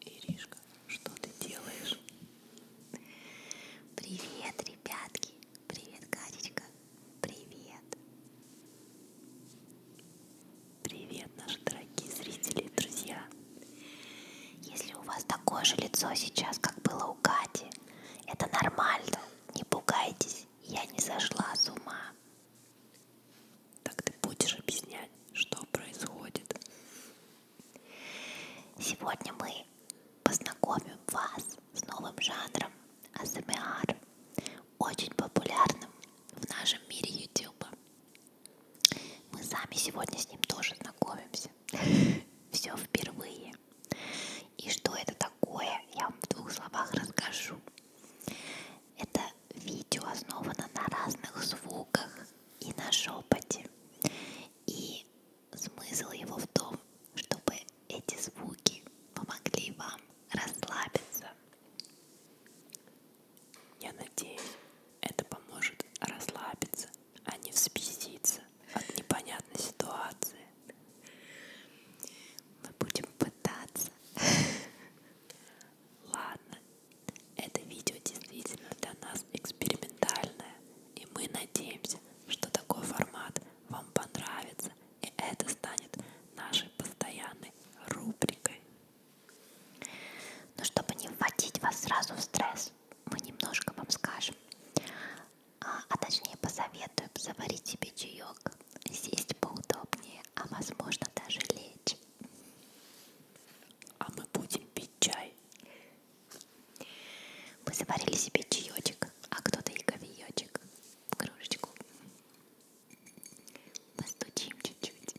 Иришка, что ты делаешь? Привет, ребятки! Привет, Катечка! Привет! Привет, наши дорогие зрители и друзья! Если у вас такое же лицо сейчас, как было у Кати, это нормально, не пугайтесь, я не сошла с ума. Так ты будешь объяснять, что происходит. Сегодня мы познакомим вас с новым жанром АСМР, очень популярным в нашем мире YouTube. Мы сами сегодня с ним тоже знакомимся. Все впервые. И что это такое, я вам в двух словах расскажу. Это видео основано на разных звуках и на шепоте. И смысл его в том, чтобы эти звуки помогли вам расслабиться. Я надеюсь, это поможет расслабиться а не взбеситься от непонятной ситуации. Мы будем пытаться. Ладно, это видео действительно для нас экспериментальное, и мы надеемся, что такой формат вам понравится, и это станет нашей постоянной рубрикой. Но чтобы не вводить вас сразу в стресс, мы немножко вам скажем, а, а точнее посоветуем заварить себе чаек, сесть поудобнее, а возможно даже лечь. А мы будем пить чай. Мы заварили себе чаечек, а кто-то и кофеечек в кружечку. Постучим чуть-чуть.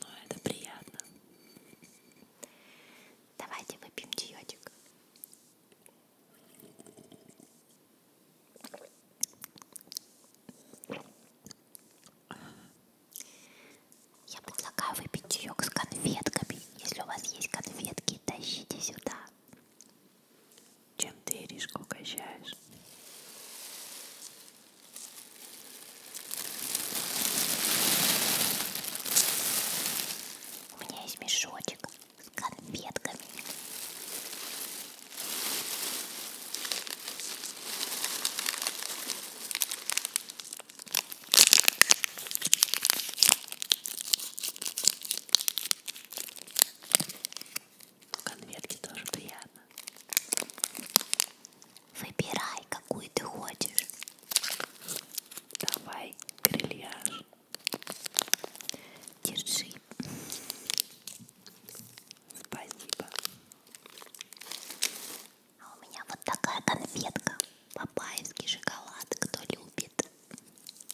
Но это приятно. Давайте выпьем чаечек. Я предлагаю выпить чаек с конфетками. Если у вас есть конфетки, тащите сюда чем ты иришку угощаешь. У меня есть мешочек с конфетками. Конфетки тоже приятно. Выбирай, какую ты хочешь. Давай, грильяж. Держи. Спасибо. А у меня вот такая конфетка. Папайский шоколад, кто любит.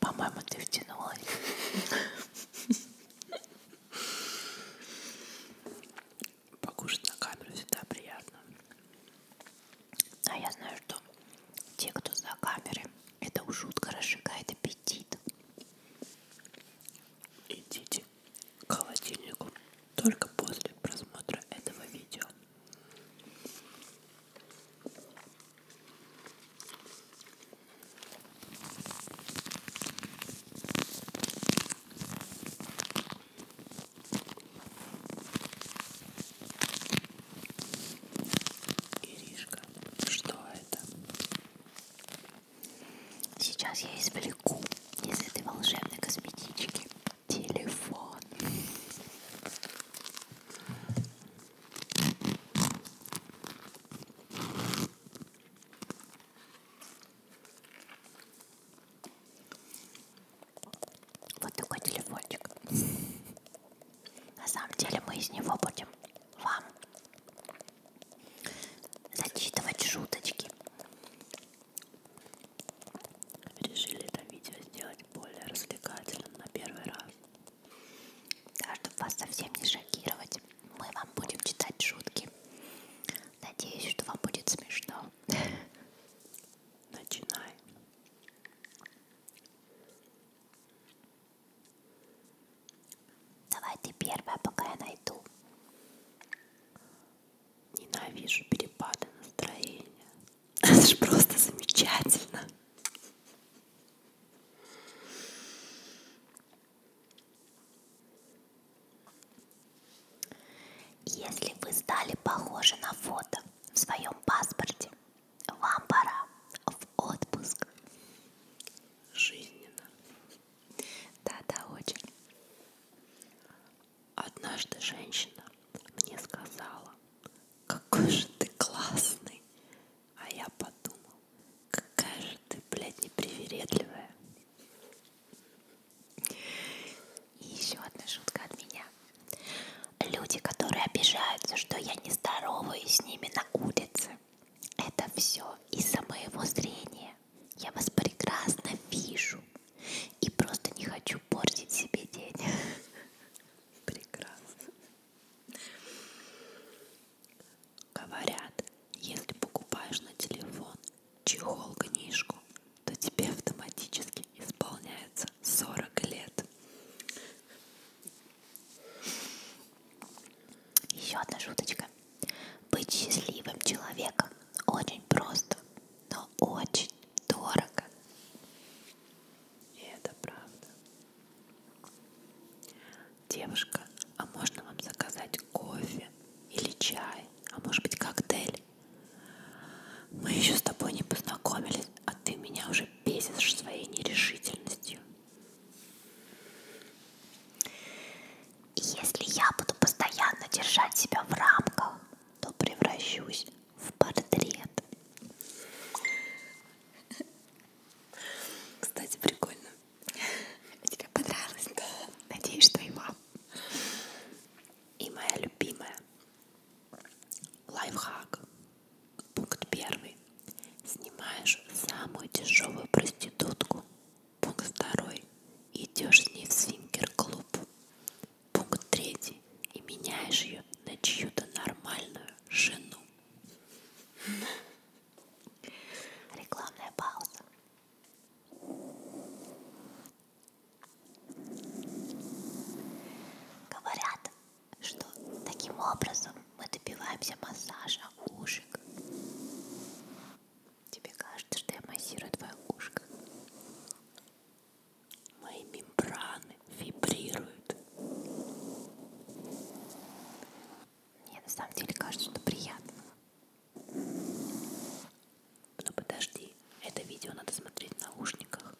По-моему, ты втянулась. Покушать на камеру всегда приятно. А я знаю, что те, кто за камеры, это уж жутко разжигает аппетит. Идите к холодильнику только после просмотра этого видео. Иришка, что это? Сейчас я извлеку из этой волшебной косметички телефон. Вот такой телефончик. На самом деле мы из него будем вам зачитывать шуточки. Решили это видео сделать более развлекательным на первый раз. Да, чтобы вас совсем не шокировать, мы вам будем читать шутки. Надеюсь, что вам будет смешно. Начинай. Давай ты первая, пока я найду. Ненавижу перепады настроения. Это же просто замечательно. Если вы стали похожи на фото в своем паспорте, вам пора в отпуск. Жизненно. Да-да, очень. Однажды женщина мне сказала, какой же ты классный. А я подумал, какая же ты, блядь, непривередливая. И еще одна шутка от меня. Люди, которые обижаются, что я не здороваюсь с ними на улице, это все из-за моего зрения. Я вас прекрасно вижу и просто не хочу портить себе день. Прекрасно. Говорят, если покупаешь на телефон чехол-книжку, то тебе автоматически исполняется 40 лет. Еще одна шуточка. Быть счастливым человеком очень просто, но очень дорого. И это правда. Девушка, а можно вам заказать кофе или чай, а может быть коктейль? Мы еще с тобой не познакомились, а ты меня уже же бесишь своей нерешительностью. И если я буду постоянно держать себя в рамках, то превращусь в портрет. Кстати, прикольно. Тебе понравилось? Да. Надеюсь, что и вам. И моя любимая лайфхак Пункт первый. Снимаешь самую дешевую проститутку. Пункт второй. Идешь с ней в свингер-клуб. Пункт третий. И меняешь ее на чью-то нормальную жену. Рекламная пауза. Говорят, что таким образом мы добиваемся массажа ушек. Тебе кажется, что я массирую твое ушко. Мои мембраны вибрируют. Мне на самом деле кажется, что приятно. Но подожди, это видео надо смотреть в наушниках.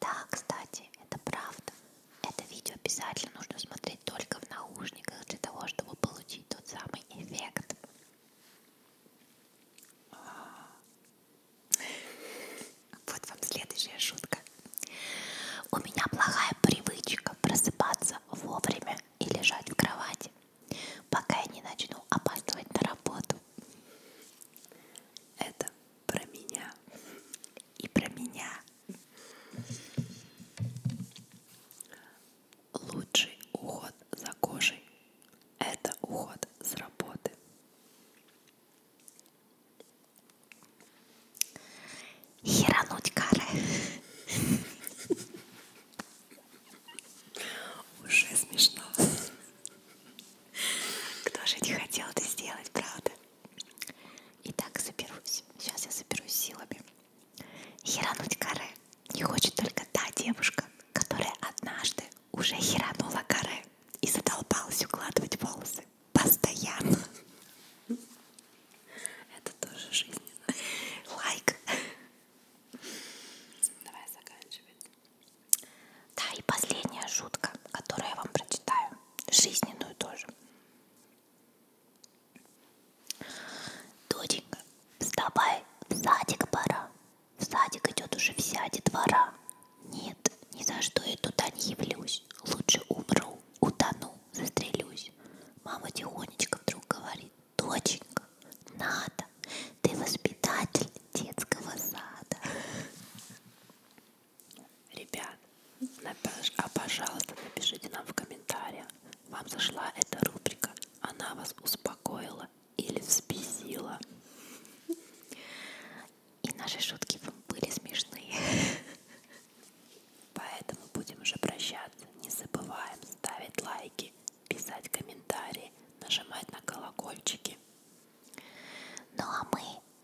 Да, кстати, это правда. Это видео обязательно нужно смотреть только в наушниках для того, чтобы получить тот самый эффект. Вот вам следующая шутка. У меня плохая привычка просыпаться вовремя и лежать в кровати, пока я не начну опаздывать на работу. Это про меня и про меня. Лучший уход за кожей – это уход с работы. Херануть кары. Уже смешно. Кто же не хотел это сделать, правда? Итак, соберусь. Сейчас я соберусь силами. Херануть каре не хочет только та девушка, которая однажды уже херанула каре и задолбалась укладывать волосы. Постоянно. Это тоже жизненно. Лайк. Давай заканчивать. Да, и последняя шутка, которую я вам прочитаю, жизненную тоже. Доченька, вставай, в садик пора. В садик идет уже вся детвора. Нет, ни за что я туда не явлюсь. Лучше умру, утону, застрелюсь. Мама тихонечко вдруг говорит, доченька, надо, ты воспитатель, детского сада. Ребят, напиш... а пожалуйста, напишите нам в комментариях, вам зашла эта рубрика, она вас успокоила или взбесила. И наши шутки были смешные. Поэтому будем уже прощаться. Не забываем ставить лайки, писать комментарии, нажимать на колокольчики. Ну а мы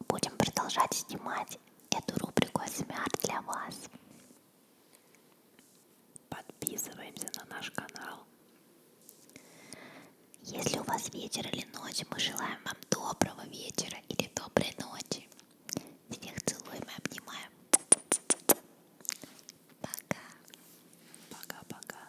будем продолжать снимать эту рубрику «Смяр» для вас. Подписываемся на наш канал. Если у вас вечер или ночь, мы желаем вам доброго вечера или доброй ночи. Всех целуем и обнимаем. Пока. Пока-пока.